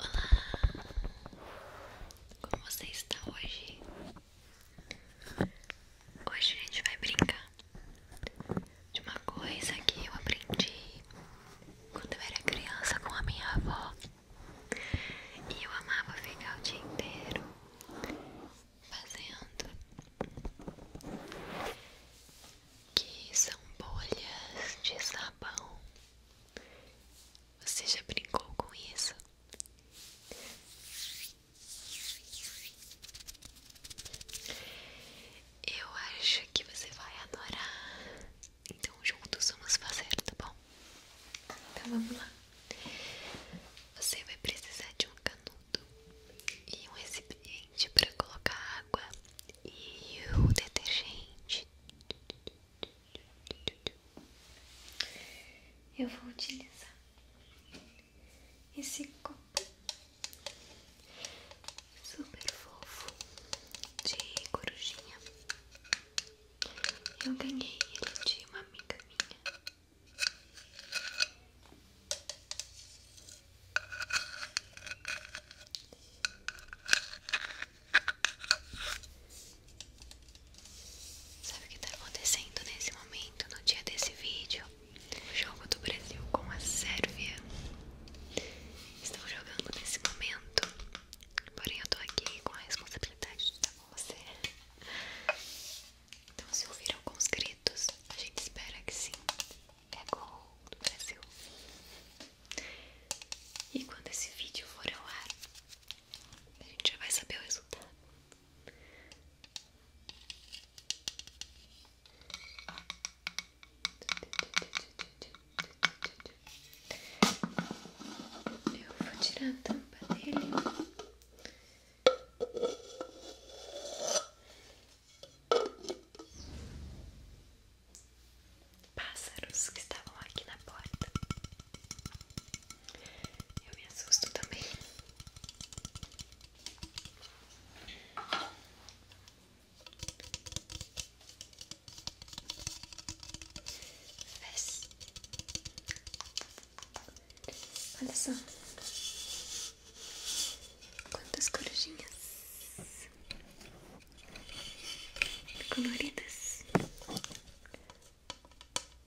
Olá, como você está hoje? Hoje a gente vai brincar de uma coisa que eu aprendi quando eu era criança com a minha avó. E eu amava ficar o dia inteiro fazendo. Que são bolhas de sabão. Você já brincou com isso? Eu acho que você vai adorar. Então juntos vamos fazer, tá bom? Então vamos lá. Você vai precisar de um canudo e um recipiente para colocar água e o detergente. Eu vou utilizar esse copo super fofo de corujinha. Eu ganhei ele de uma amiga minha. Sabe o que está acontecendo nesse momento, no dia desse vídeo? O jogo do Brasil com a Sérvia. Estão jogando nesse momento. Porém, eu estou aqui com a responsabilidade de estar com você. Então, se ouvir alguns gritos, a gente espera que sim. É gol do Brasil. E quando esse vídeo for ao ar, a gente já vai saber o resultado. Eu vou tirar a tampa dele. Pássaros que estavam aqui na porta. Eu me assusto também. Olha só quantas corujinhas coloridas.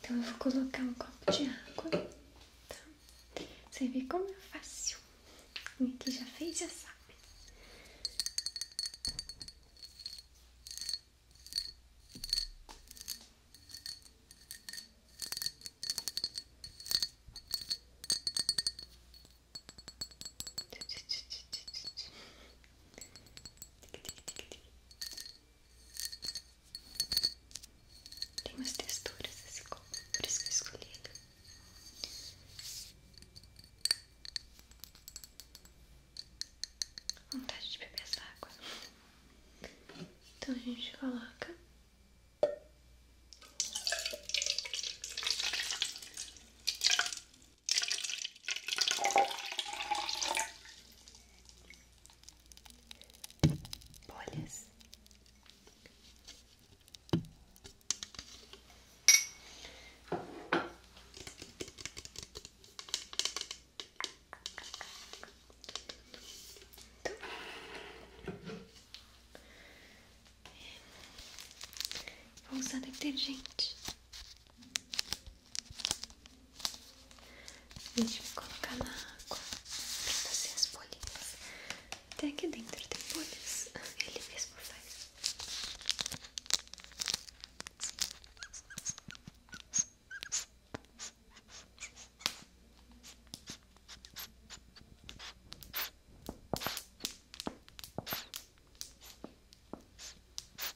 Então eu vou colocar um copo de água, tá? Você vê como é fácil. Quem aqui já fez já sabe. Tic, tic, tic, tic, tic. Tic, tic, tic, tic. Tem umas texturas assim, por isso que eu escolhi ele. Vontade de beber essa água. Então a gente coloca bolhas. Vou usar detergente. A me colocar na água pra fazer as bolinhas. Até aqui dentro tem bolhas, ele mesmo faz.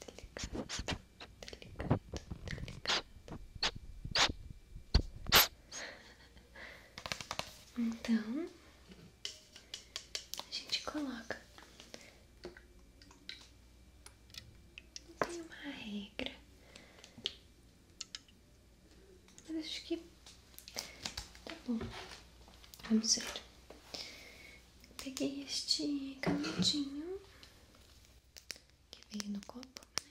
Delicado, delicado, delicado. Então, a gente coloca. Não tem uma regra. Mas acho que tá bom. Vamos ver. Peguei este canudinho que veio no copo, né?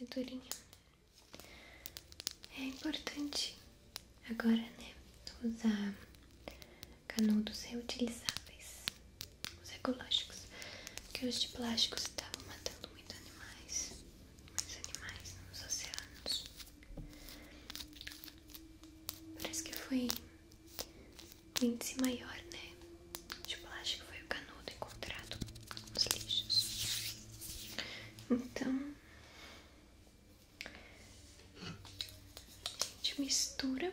Ele é durinho. É importante agora, né? Usar canudos reutilizáveis, os ecológicos, porque os de plástico estavam matando muitos animais, muitos animais nos oceanos. Parece que foi o índice maior, né? De tipo, que foi o canudo encontrado nos lixos. Então, a gente mistura.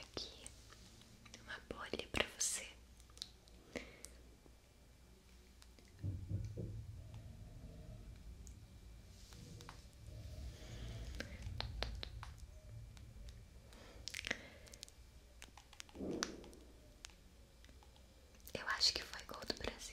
Aqui uma bolha para você. Eu acho que foi gol do Brasil.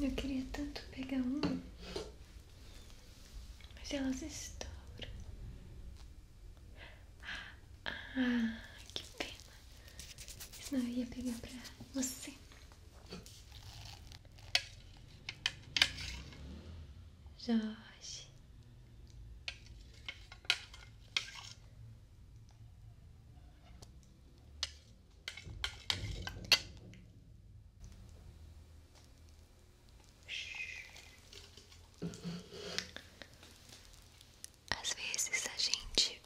Eu queria tanto pegar um, mas elas estouram. Ah, que pena! Senão eu ia pegar pra você. Jorge. As vezes a gente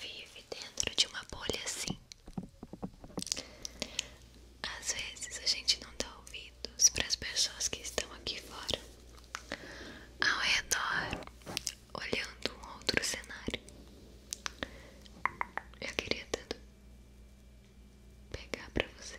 vive dentro de uma bolha assim. Às vezes a gente não dá ouvidos para as pessoas que estão aqui fora, ao redor, olhando um outro cenário. Eu queria tanto pegar pra você.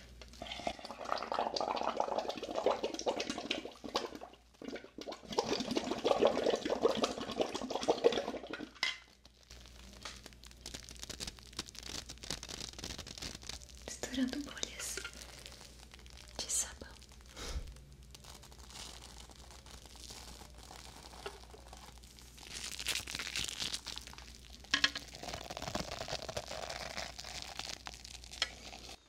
Misturando bolhas de sabão.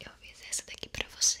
Eu fiz essa daqui pra você.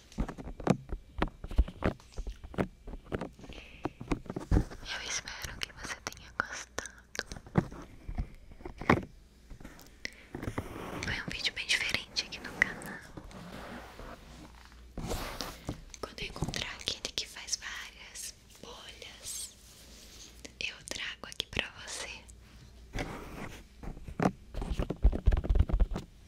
Eu espero que você tenha gostado. Foi um vídeo bem diferente aqui no canal. Quando eu encontrar aquele que faz várias bolhas, eu trago aqui pra você.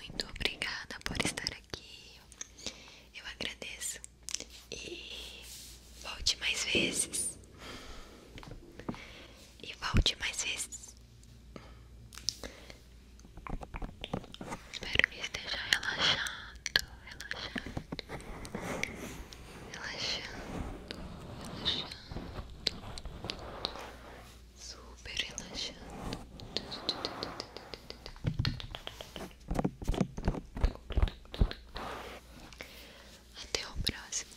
Muito obrigada por estar aqui. Eu agradeço. E volte mais vezes. E volte mais vezes. Espero que esteja relaxado, relaxado, relaxando, relaxando, super relaxando. Até o próximo.